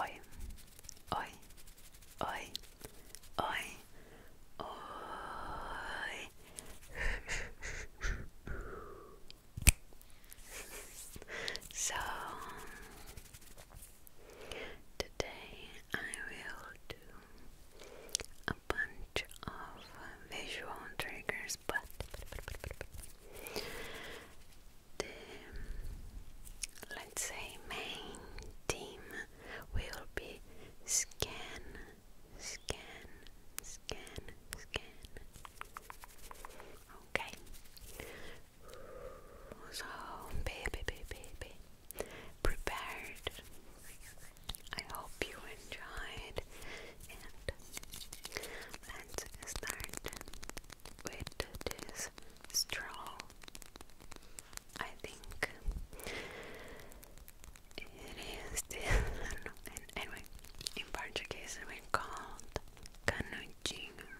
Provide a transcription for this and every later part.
Oi, oi, oi, oi, oi. so today I will do a bunch of visual triggers, but, let's say main team will be scan, scan, scan, scan. Okay. So baby, baby, baby, prepared. I hope you enjoyed and let's start with this straw. I think it is this anyway in Portuguese we call it canudinho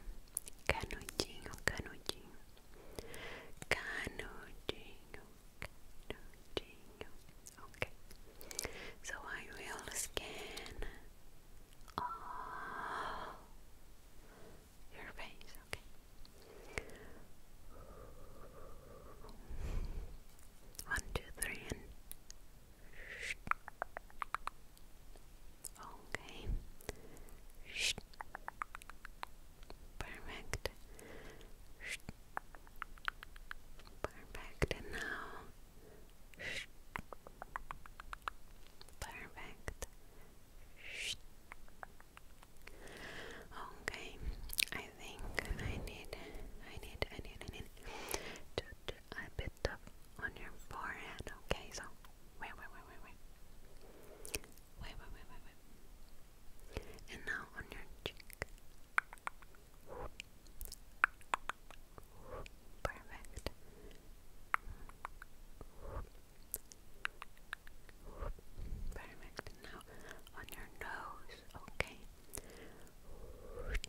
canudinho canudinho canudinho Okay, so I will scan all your face, okay? One, two, three, okay. Perfect. Perfect, and now. Perfect. Okay, I think I need, I need, I need, I need a bit on your forehead. Okay, so wait, wait, wait, wait, wait, wait, wait, wait, wait, wait. and now on your cheek. Perfect. Perfect. Now on your nose, okay. Perfect.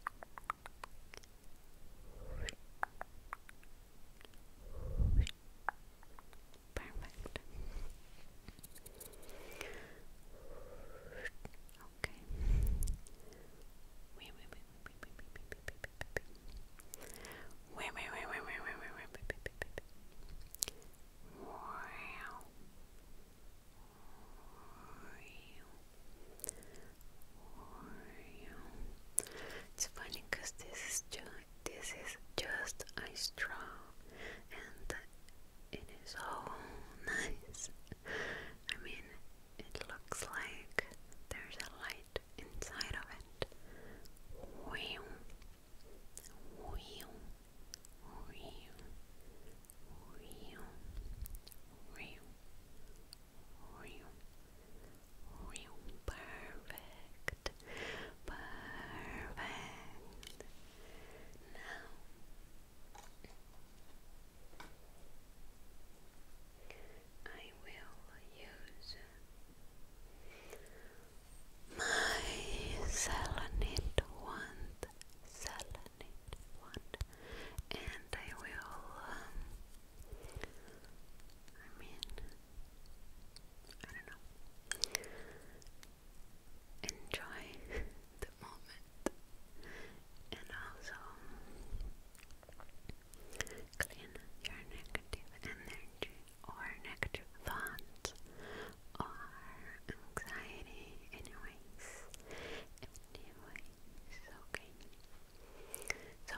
Wait, wait, wait, wait, wait, wait, wait, wait, wait, wait, wait, wait, wait, Wow. It's funny because this is just this is just a straw and it is so nice I mean, it looks like there's a light inside of it. Wow. Wow. Wow. Wow. Wow. Wow. Perfect. Perfect. Now I will use my selenite wand, selenite wand, and I will, um, I mean, I don't know, enjoy moment and also clean your negative energy or negative thoughts or anxiety anyways anyways okay so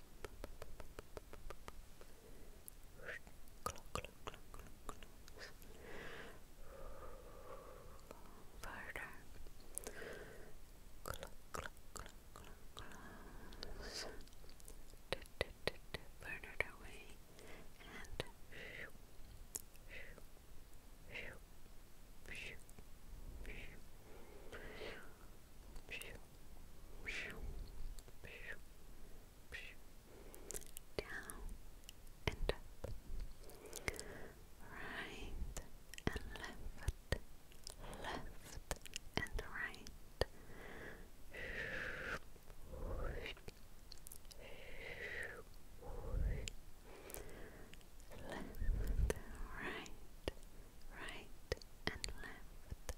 Further. Close. away down and up, right and left, left and right. Left, right, right and left.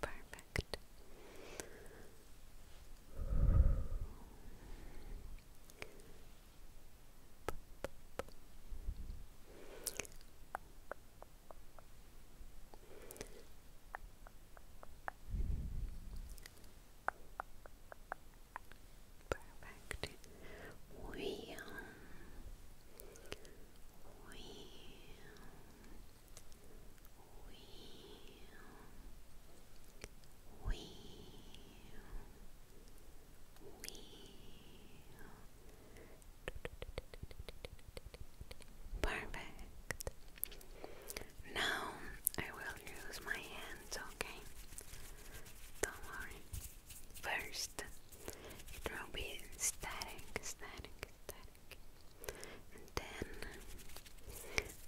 Perfect correct. Perfect. Wheel. Wheel. Um, Wee, wheel, wheel. Perfect. Now I will use my hands, okay? Don't worry. First, it will be static, static, static then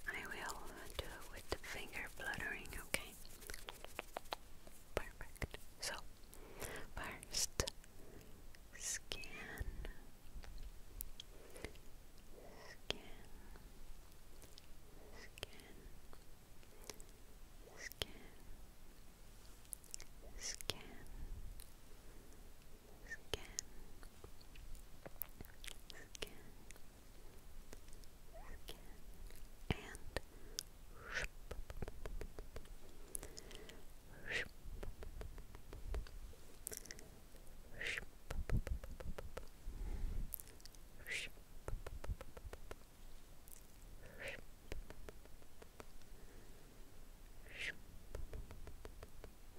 I will do it with finger fluttering, okay? Perfect. So, first scan, scan, scan, scan, scan, scan, scan, scan, scan, and Ship, ship, ship, ship, ship, ship, ship, ship,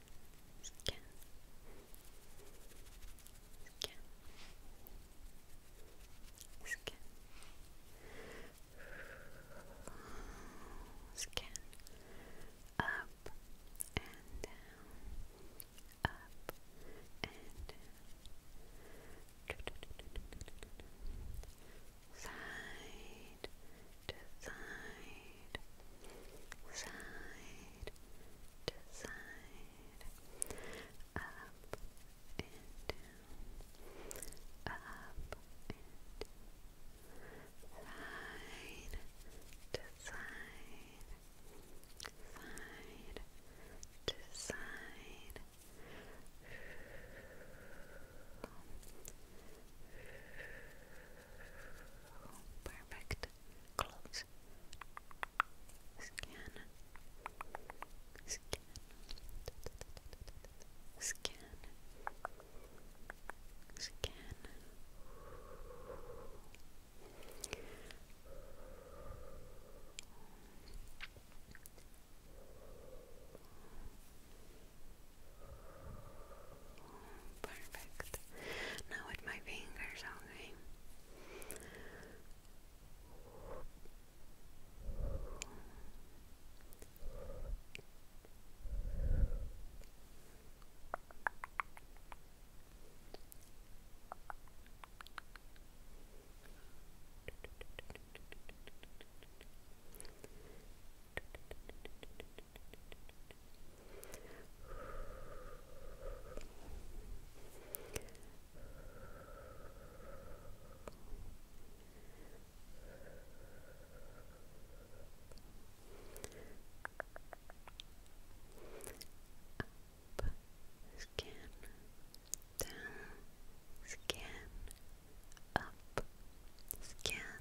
scan, scan, scan, scan, up and down, up and down, side to side side to side, up and up and side to side, side to Side Perfect. Close. Scan. Scan. Scan. Scan. Perfect. Now with my fingers, okay. Up, skin, down, skin, up, skin,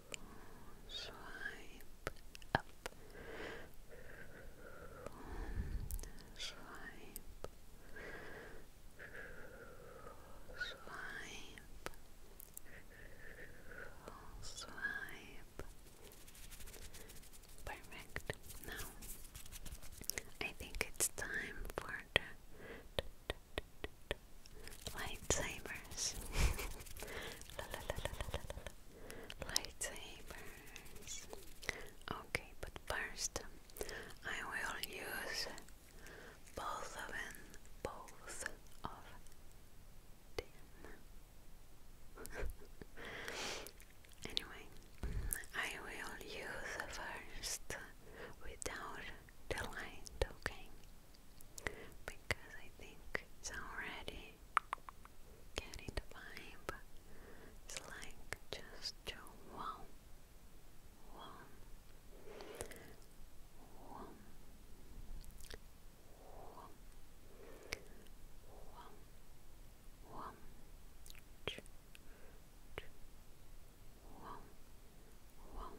Swipe up. Swipe. Swipe. Swipe. Perfect. Now, I think it's time for the lightsabers. la, la, la, la, Okay, but first um, I will use both of them. Both of anyway, I will use first without the light, okay? because I think it's already getting the vibe. It's like just to wow, wow, wow, wow, wow, wow, ch, ch, wow, wow.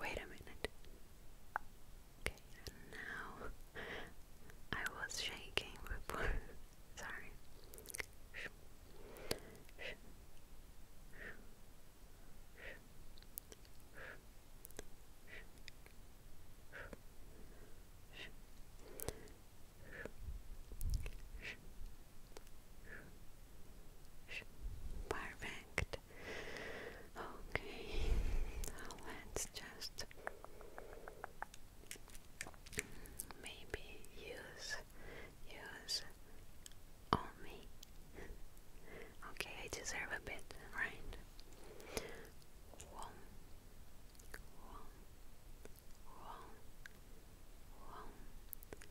Wait a minute. Okay, now I was shaking Sorry. Perfect. Okay, let's just maybe use use on me. Okay, I deserve a bit, right? One, one, one, one,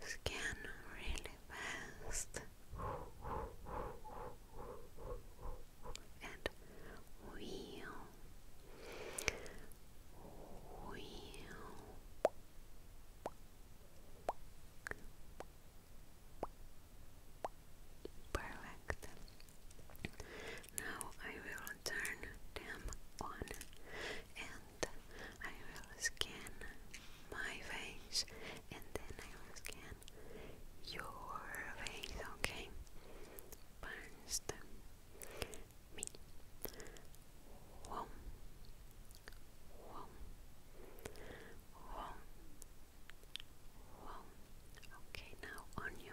Scan really fast and wheel, wheel, perfect. Now I will turn them on and I will scan my face and then I will scan your face, okay? First, me. One, one, one, one. Okay, now on you.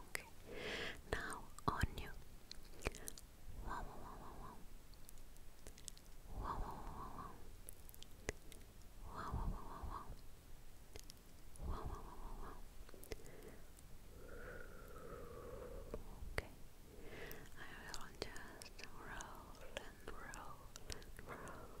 Okay. Now on you. Okay. I will just roll and roll and roll.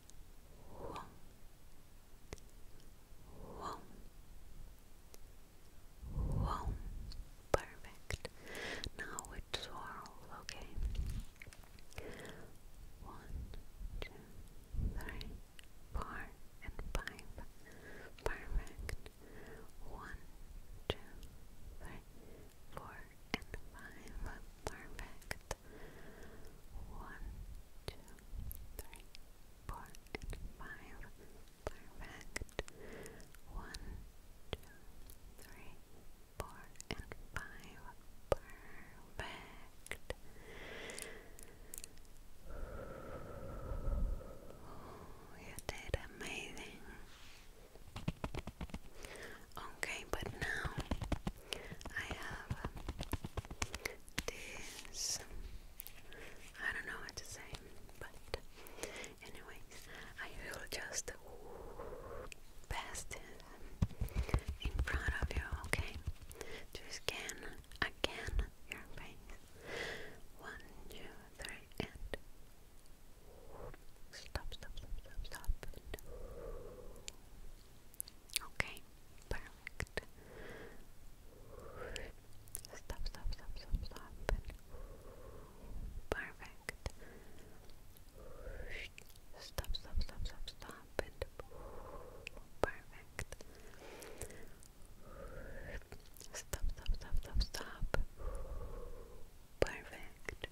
Whoa. Whoa. Whoa. Perfect. One, two, three, four, and five. Perfect. One, two, three, four, and five. Perfect. One, two, three, four, and five. Perfect. One, two, three, four, and five. Perfect. Oh, you did amazing. Okay, but now I have this. I don't know what to say, but anyways, I will just pass it in front of you, okay? To scan again your face. One, two, three, and stop, stop, stop, stop, stop. Okay, perfect. Stop, stop, stop, stop, stop. Perfect. Stop, stop, stop, stop, stop. perfect. Stop, stop, stop, stop, stop. Perfect.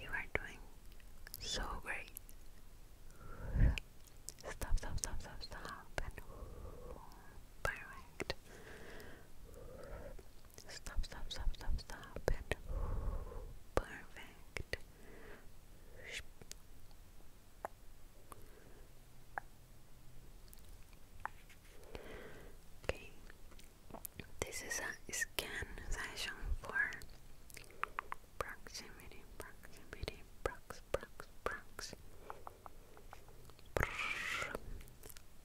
You are doing so great. Stop, stop, stop, stop, stop. perfect. Stop, stop, stop, stop, stop. perfect. Okay. This is a scan session for proximity, proximity, prox, prox, prox. Brrr,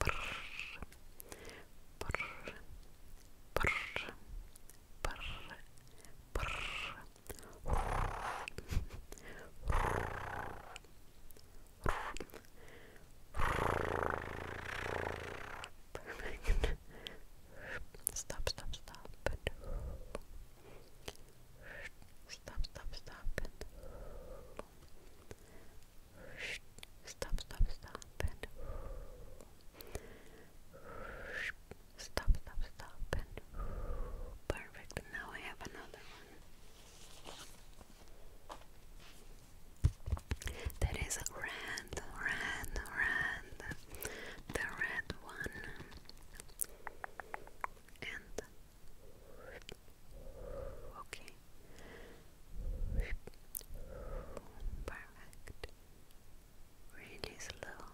brrr, brrr, brrr, brrr, brrr. Perfect. Stop, stop, stop. stop, stop, stop. stop, stop, stop. perfect. Now I have another one. There is a rand, rand, the red one and okay perfect really slow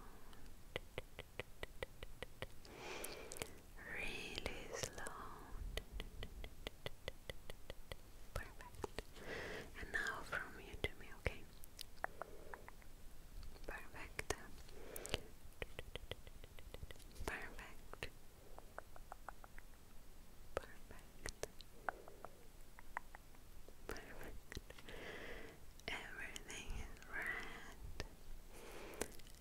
really slow perfect good. And now from you to me, okay? Perfect. Perfect. Perfect. Perfect. Everything is red.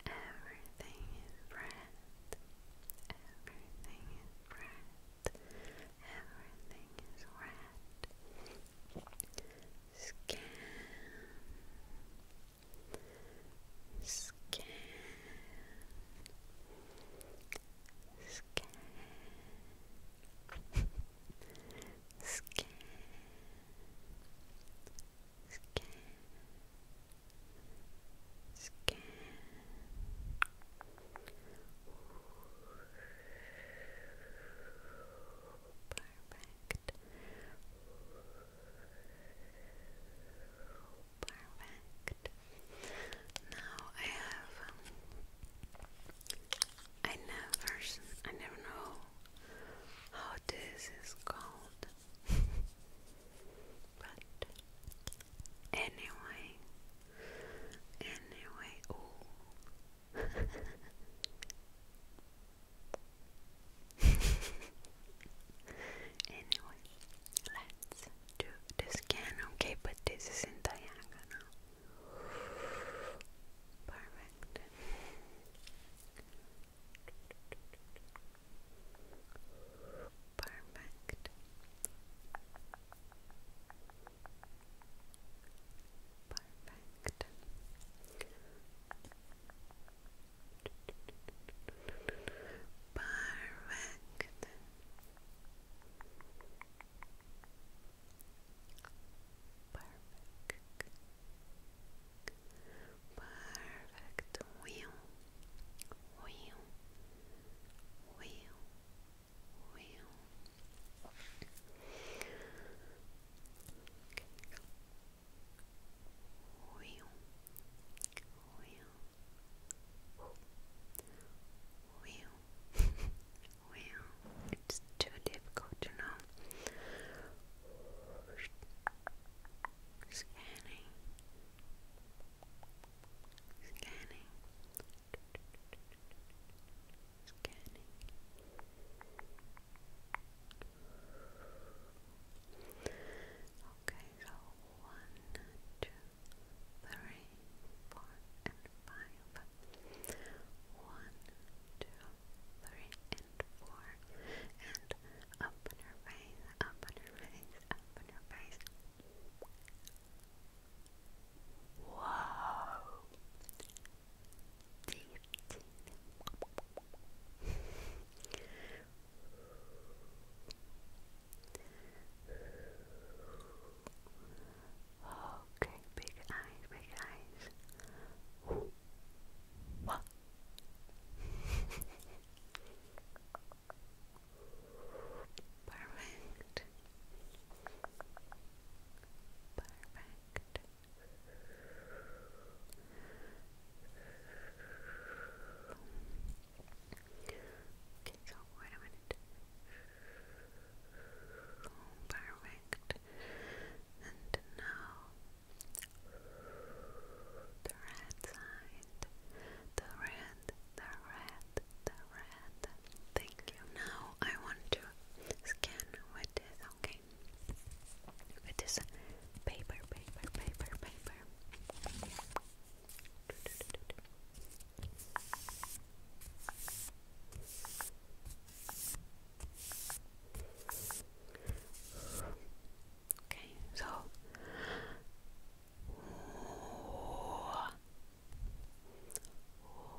Everything is red. Everything is red. Everything is red. Scan. Scan. Scan. Scan. Scan. Scan. Perfect. Perfect. Now I have um, I never I never know how this is called. but anyway, anyway, oh, anyway, let's do the scan, okay? But this is in diagonal. Perfect. Perfect. Perfect. Perfect. Perfect. Perfect. Wheel. Wheel wheel. Wheel. It's too difficult to know. Scanning. Scanning. Okay, so one, two, three, four, and five. One, two, three, and four. And up in her face, up in her face, up in her face. Wow. Okay, big eyes, big eyes. Perfect. Perfect. Okay, so wait a minute. Perfect. And now the red side. The red, the red, Thank you. Now I want to scan with this, okay? With this paper, paper, paper, paper. Okay, so scanning, slow scanning.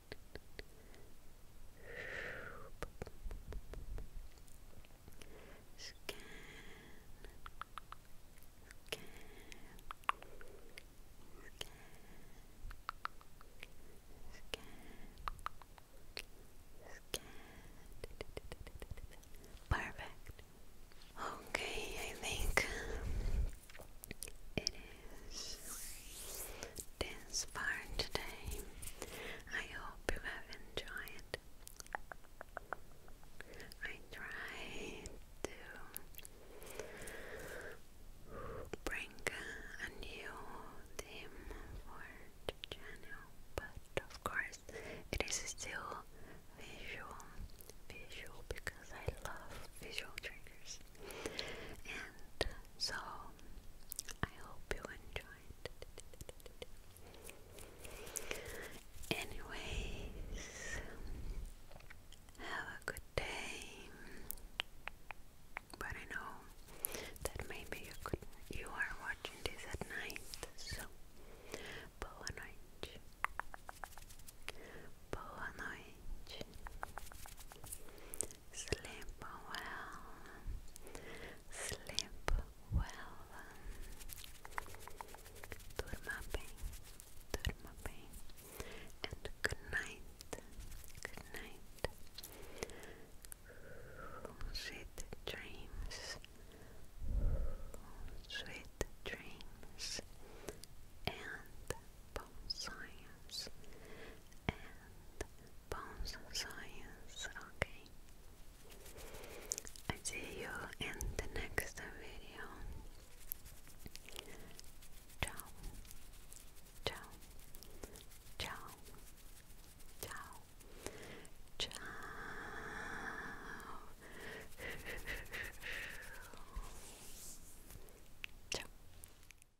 Scan. Scan. Perfect. Okay, I think it is this far today. I hope you have enjoyed. I tried to bring a new theme for the but of course it is still visual, visual because I love visual triggers. And so I hope you enjoyed. Anyways, have a good day. But I know that maybe you could you are watching this at night, so boa noite. Boa noite. Sleep well. Sleep well. Durma bem. Durma bem. And good night. Good night. Sweet dreams. Sweet dreams. And bone science and bones science. Okay, I see you in the next video. ciao, ciao, ciao, ciao. ciao.